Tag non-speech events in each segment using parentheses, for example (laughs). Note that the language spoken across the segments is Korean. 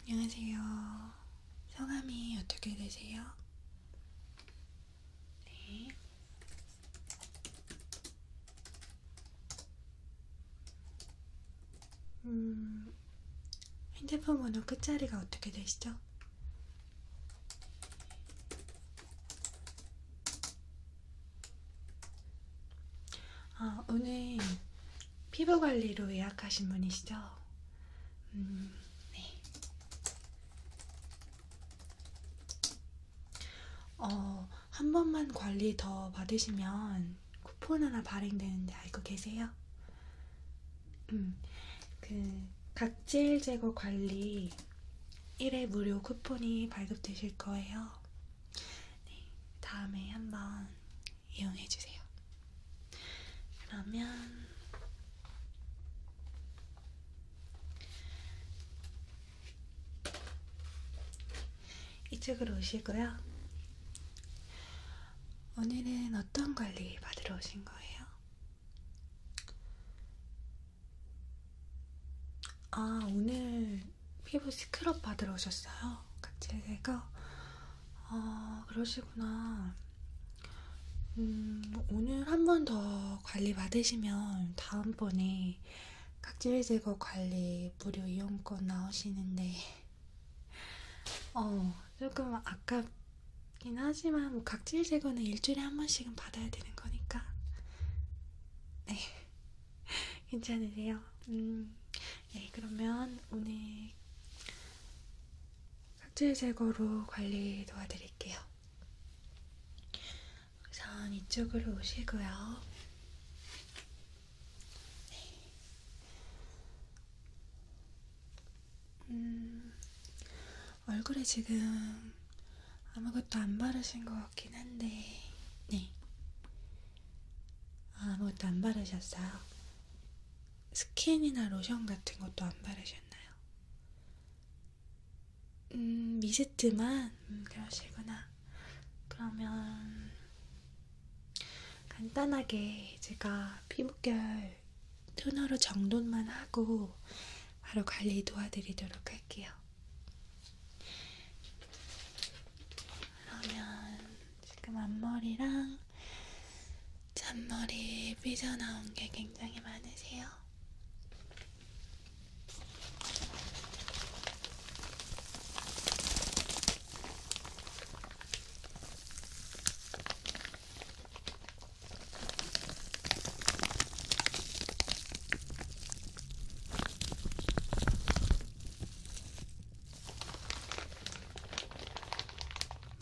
안녕하세요. 성함이 어떻게 되세요? 네. 음, 핸드폰 번호 끝자리가 어떻게 되시죠? 아, 오늘 피부 관리로 예약하신 분이시죠? 음, 네. 어, 한 번만 관리 더 받으시면 쿠폰 하나 발행되는데 알고 계세요? 음, 그 각질 제거 관리 1회 무료 쿠폰이 발급되실 거예요. 네, 다음에 한번 이용해주세요. 그러면 이쪽으로 오시고요. 오늘은 어떤 관리 받으러 오신 거예요? 아, 오늘 피부 스크럽 받으러 오셨어요? 각자의 내가 아 그러시구나. 음, 오늘 한 번 더 관리 받으시면 다음번에 각질 제거 관리 무료 이용권 나오시는데 어 조금 아깝긴 하지만 뭐 각질 제거는 일주일에 한 번씩은 받아야 되는 거니까 네 (laughs) 괜찮으세요? 음 네, 그러면 오늘 각질 제거로 관리 도와드릴게요. 우선 이쪽으로 오시고요. 네. 음, 얼굴에 지금 아무것도 안 바르신 것 같긴 한데, 네. 아무것도 안 바르셨어요. 스킨이나 로션 같은 것도 안 바르셨나요? 음, 미스트만? 음, 그러시구나. 그러면 간단하게 제가 피부결 토너로 정돈만 하고 바로 관리 도와드리도록 할게요. 그러면 지금 앞머리랑 잔머리 삐져나온 게 굉장히 많으세요.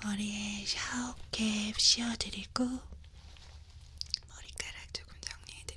머리에 샤워캡 씌워드리고 머리카락 조금 정리해드릴게요.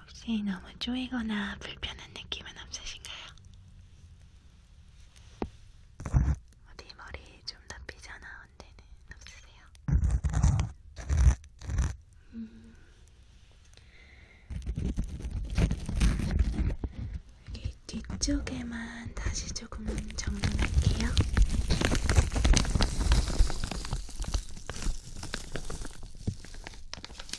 혹시 너무 쪼이거나 불편한 느낌은 없으신가요? 어디 머리 좀 나쁘지 않아 온 데는 없으세요? 음. 여기 뒤쪽에만 다시 조금 정리할게요.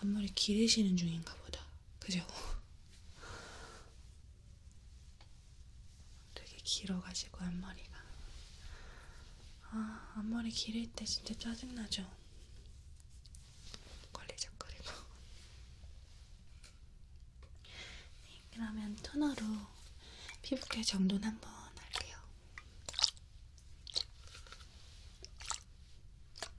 앞머리 기르시는 중인가 보다. 그죠? 되게 길어가지고 앞머리가. 아, 앞머리 기를 때 진짜 짜증나죠? 걸리적거리고. 네, 그러면 토너로 피부결 정돈 한번 할게요.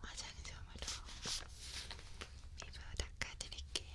화장솜으로 피부 닦아드릴게요.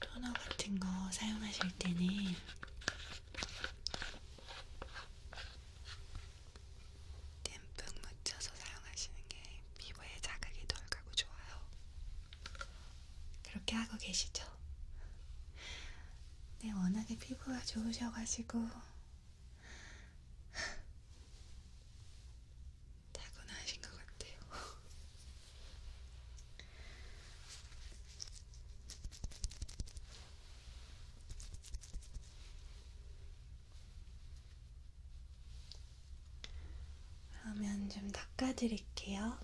토너 같은 거 사용하실 때는 듬뿍 묻혀서 사용하시는 게 피부에 자극이 덜 가고 좋아요. 그렇게 하고 계시죠? 네, 워낙에 피부가 좋으셔가지고 타고나신 것 같아요. 그러면 좀 닦아드릴게요.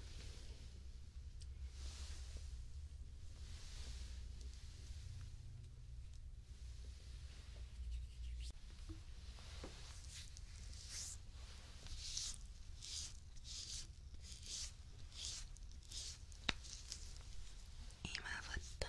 이마부터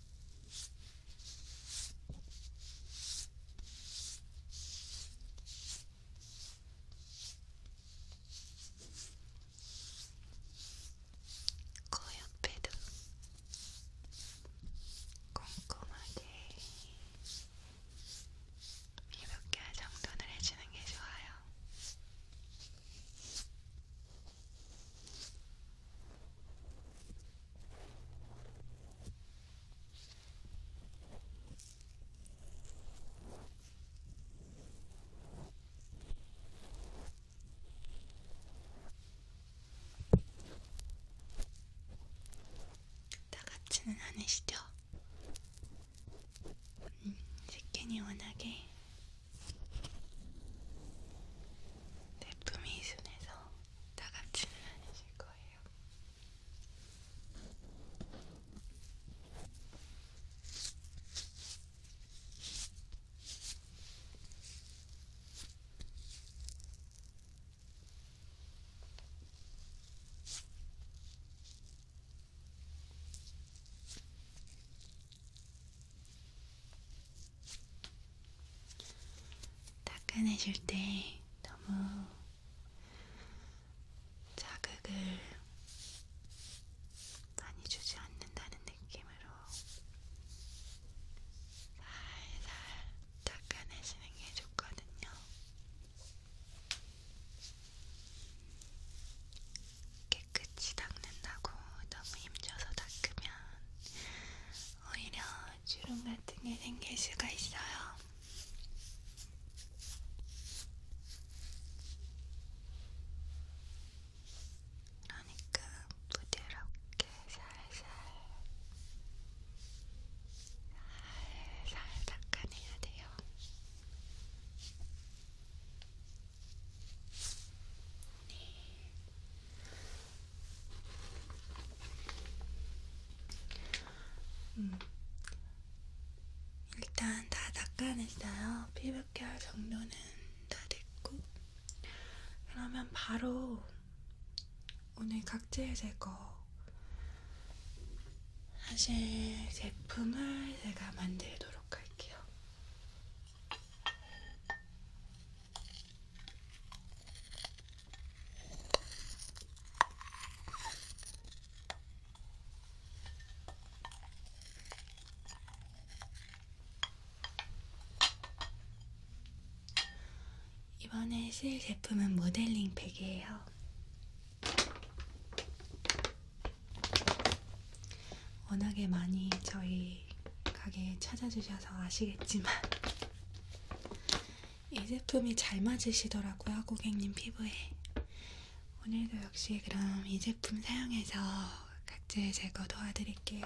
코옆에도 꼼꼼하게 이몇 개 정돈을 해주는 게 좋아요. 나같지는 않으시죠? 음, 식견이 워낙에 제품이 순해서 다감지는 아니실 거예요. 네, 닦아내실 때 너무 자극을 많이 주지 않는다는 느낌으로 살살 닦아내시는 게 좋거든요. 깨끗이 닦는다고 너무 힘줘서 닦으면 오히려 주름 같은 게 생길 수가 있어요. 그러니까 부드럽게 살살 살살 닦아내야 돼요. 네. 음. 일단 다 닦아냈어요. 피부결 정도는 다 됐고 그러면 바로 오늘 각질 제거 사실 제품을 제가 만들도록 할게요. 이번에 쓸 제품은 모델링 팩이에요. 워낙에 많이 저희 가게 찾아주셔서 아시겠지만 이 제품이 잘 맞으시더라고요, 고객님 피부에. 오늘도 역시 그럼 이 제품 사용해서 각질 제거 도와드릴게요.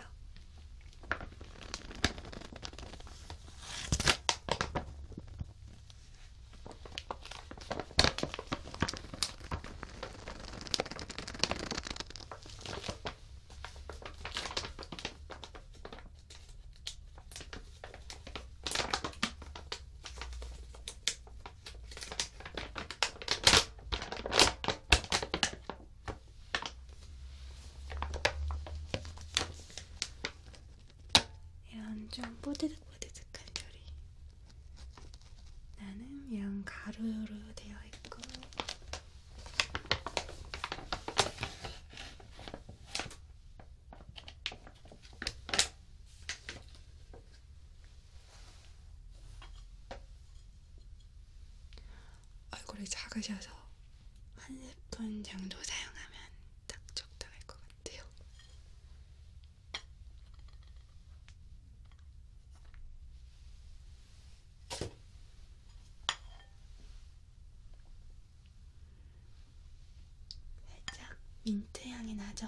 이런 좀 뽀드득뽀드득한 요리. 나는 이런 가루로 되어 있고 얼굴이 작으셔서 한 스푼 정도 사용하면 딱 적당할 것 같아요. 살짝 민트 향이 나죠?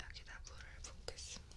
여기다 물을 붓겠습니다.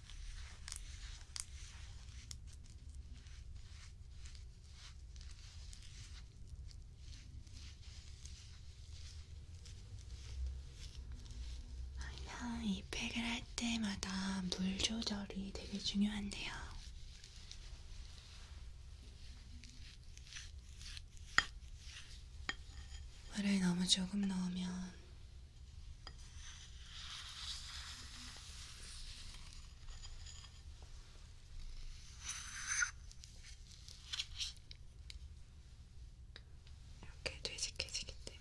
항상 이 팩을 할 때마다 물 조절이 되게 중요한데요. 물을 너무 조금 넣으면 이렇게 되직해지기 때문에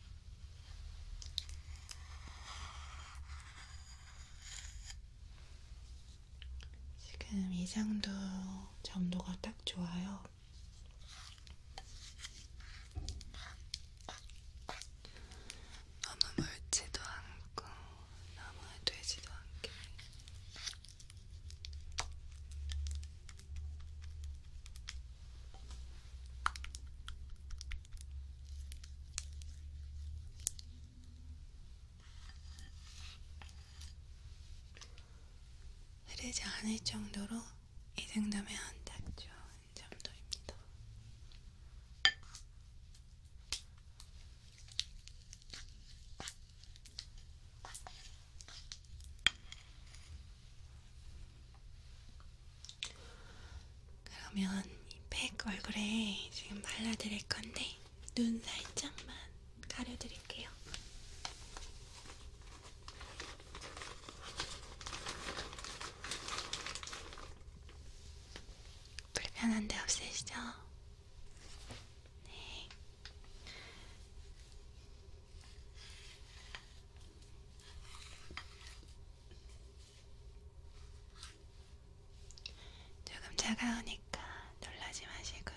지금 이 장도 점도가 딱 좋아요. 너무 멀지도 않고 너무 되지도 않게 흐르지 않을 정도로 이 정도면 딱 좋은 정도입니다. 그러면 이팩 얼굴에 지금 발라드릴 건데 눈 살짝만 가려드릴게요. 불편한 데 없으시죠? 네. 조금 차가우니까 놀라지 마시고요.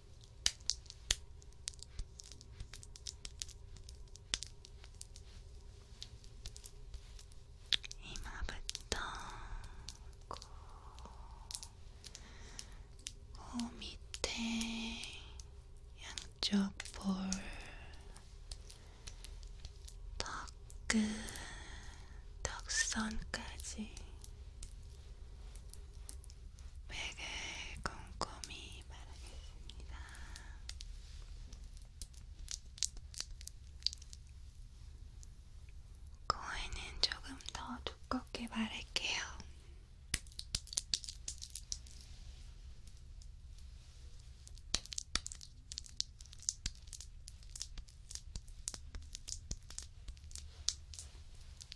이마부터 코, 코 밑에 양쪽 볼, 턱 끝, 턱선까지 맥을 꼼꼼히 바르겠습니다. 코에는 조금 더 두껍게 바를게요.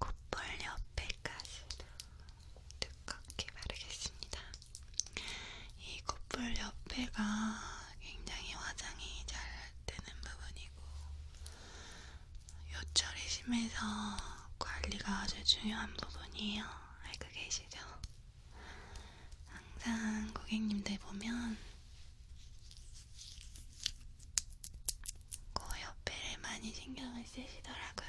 콧볼 옆에까지도 두껍게 바르겠습니다. 이 콧볼 옆에가 굉장히 화장이 잘 되는 부분이고 요철이 심해서 관리가 아주 중요한 부분이에요. 알고 계시죠? 항상 고객님들 보면 코 그 옆에를 많이 신경을 쓰시더라고요.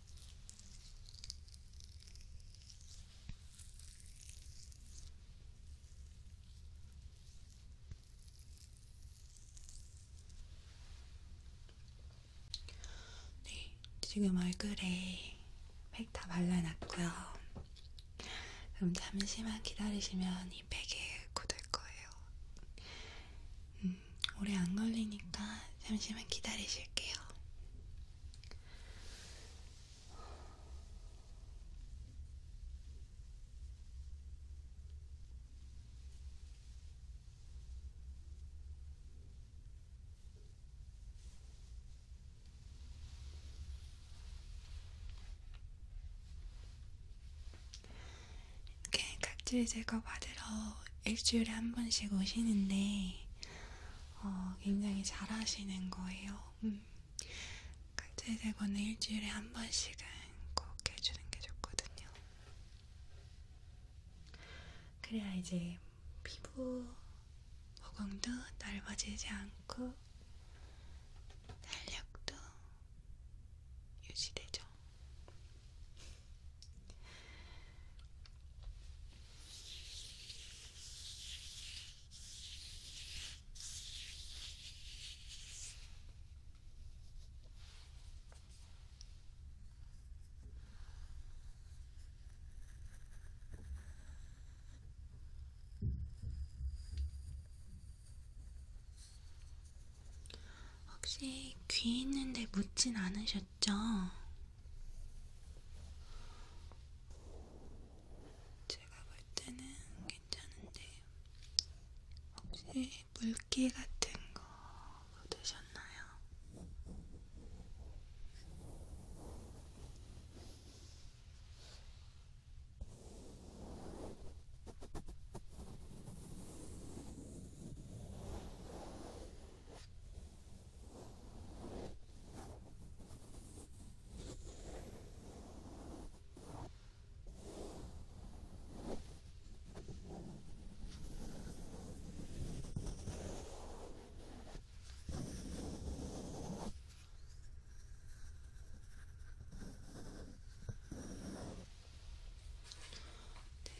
네, 지금 얼굴에 팩다 발라놨고요. 그럼 잠시만 기다리시면 이 팩에 굳을 거예요. 음, 음, 오래 안 걸리니까 잠시만 기다리실게요. 이렇게 각질 제거 받으러 일주일에 한 번씩 오시는데 어, 굉장히 잘하시는 거예요. 음. 칼질 대고는 일주일에 한 번씩은 꼭 해주는 게 좋거든요. 그래야 이제 피부 모공도 넓어지지 않고 탄력도 유지되죠. 혹시 귀 있는데 묻진 않으셨죠? 제가 볼 때는 괜찮은데 혹시 물기 같은 거 묻으셨나요? 네,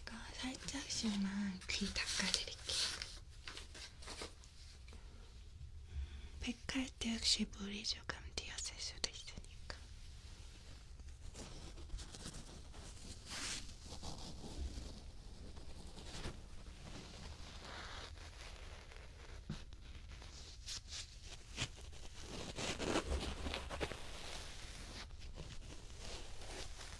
제가 살짝씩만 귀 닦아드릴게요. 백할 때 혹시 물이 조금 튀었을 수도 있으니까.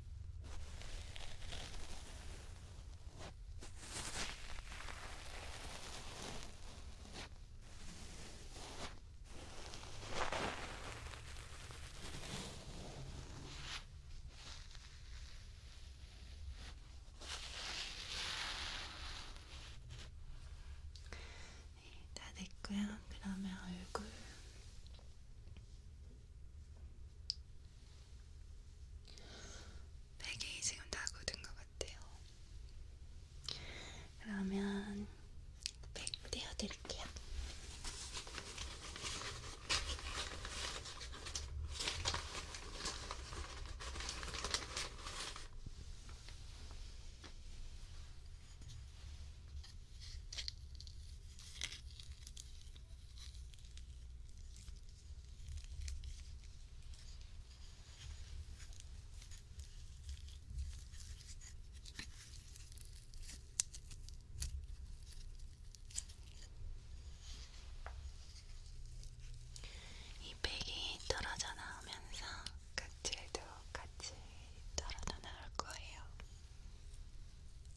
네, 다 됐고요. 그러면 얼굴 4개 지금 다 굳은 것 같아요. 그러면 백 떼어드릴게요. 이 백이 떨어져 나오면서 각질도 같이 떨어져 나올 거예요.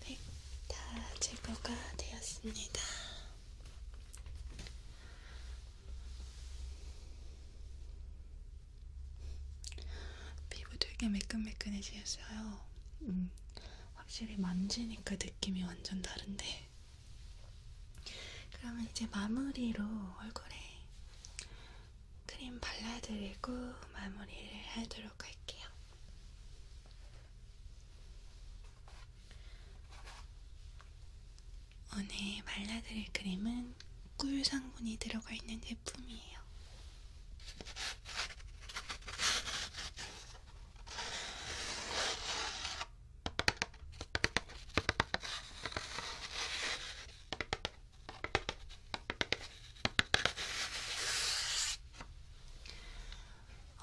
네, 다 제거가 되었습니다. 피부 되게 매끈매끈해지셨어요. 음, 확실히 만지니까 느낌이 완전 다른데. 그러면 이제 마무리로 얼굴에 크림 발라드리고 마무리를 하도록 할게요. 오늘 발라드릴 크림은 꿀 성분이 들어가 있는 제품이에요.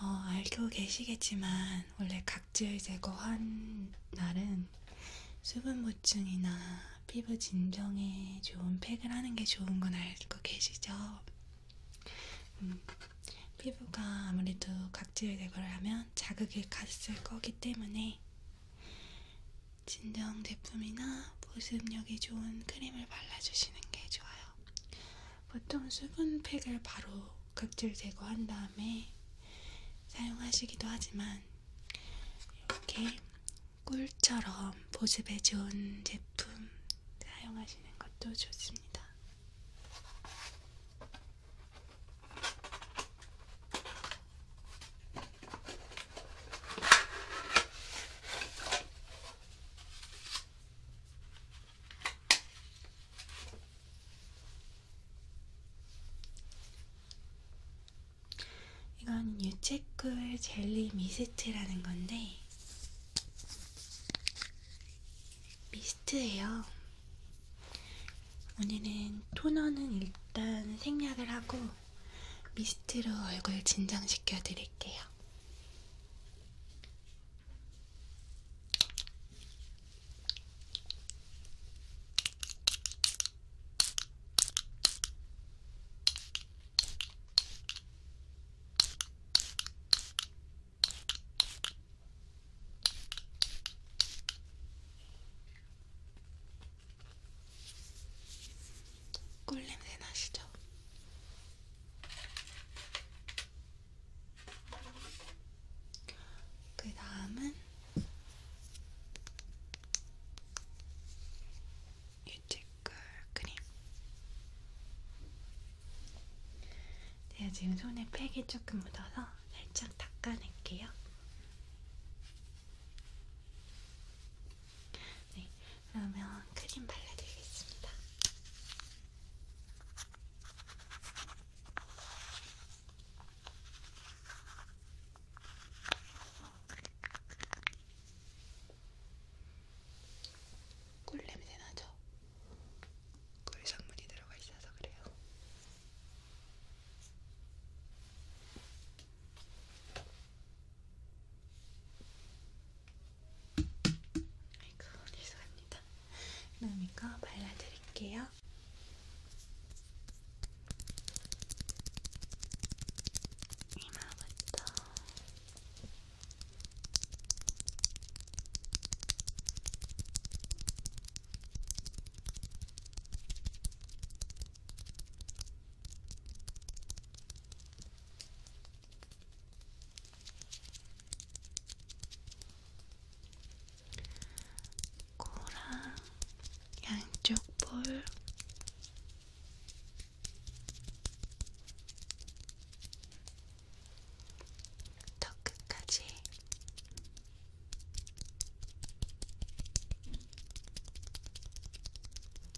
어, 알고 계시겠지만 원래 각질 제거한 날은 수분 보충이나 피부 진정에 좋은 팩을 하는 게 좋은 건 알고 계시죠? 음, 피부가 아무래도 각질 제거를 하면 자극이 갔을 거기 때문에 진정 제품이나 보습력이 좋은 크림을 발라주시는 게 좋아요. 보통 수분팩을 바로 각질 제거한 다음에 사용하시기도 하지만 이렇게 꿀처럼 보습에 좋은 제품 사용하시는 것도 좋습니다. 이건 유채꿀 젤리 미스트라는 건데 미스트예요. 오늘은 토너는 일단 생략을 하고 미스트로 얼굴 진정시켜 드릴게요. 꿀 냄새 나시죠? 그 다음은 유채꿀 크림. 제가 지금 손에 팩이 조금 묻어서 살짝 닦아낼게요. 네, 그러면 크림 발라드리겠습니다. 꿀 냄새 나죠? 꿀 성분이 들어가 있어서 그래요. 아이고 죄송합니다. 그럼 이거 발라드릴게요. 이마부터 코랑 양쪽 볼 턱끝까지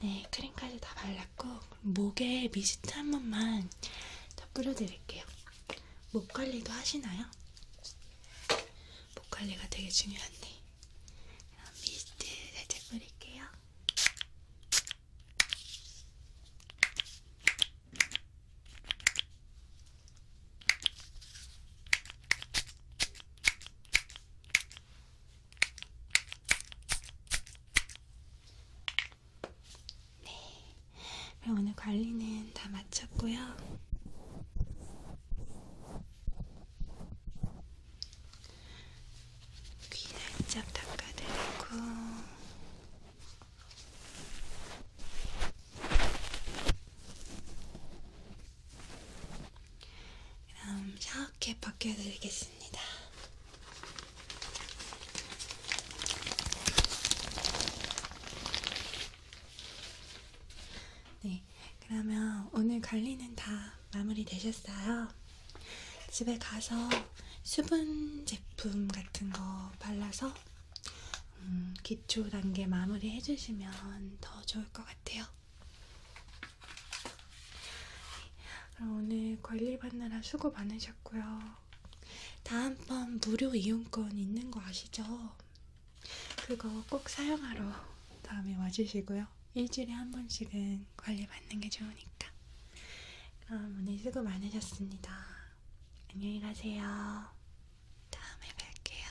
네, 크림까지 다 발랐고 목에 미스트 한 번만 더 뿌려드릴게요. 목 관리도 하시나요? 목 관리가 되게 중요한데 그럼 미스트 살짝 뿌릴게요. 네, 그럼 오늘 관리는 다 마쳤고요. 귀 살짝 닦아드리고 그럼 이렇게 벗겨드리겠습니다. 네, 그러면 오늘 관리는 다 마무리 되셨어요. 집에 가서 수분 제품 같은 거 발라서 음, 기초 단계 마무리 해주시면 더 좋을 것 같아요. 그럼 오늘 관리받느라 수고 많으셨고요. 다음번 무료 이용권 있는 거 아시죠? 그거 꼭 사용하러 다음에 와주시고요. 일주일에 한 번씩은 관리받는 게 좋으니까. 그럼 오늘 수고 많으셨습니다. 안녕히 가세요. 다음에 뵐게요.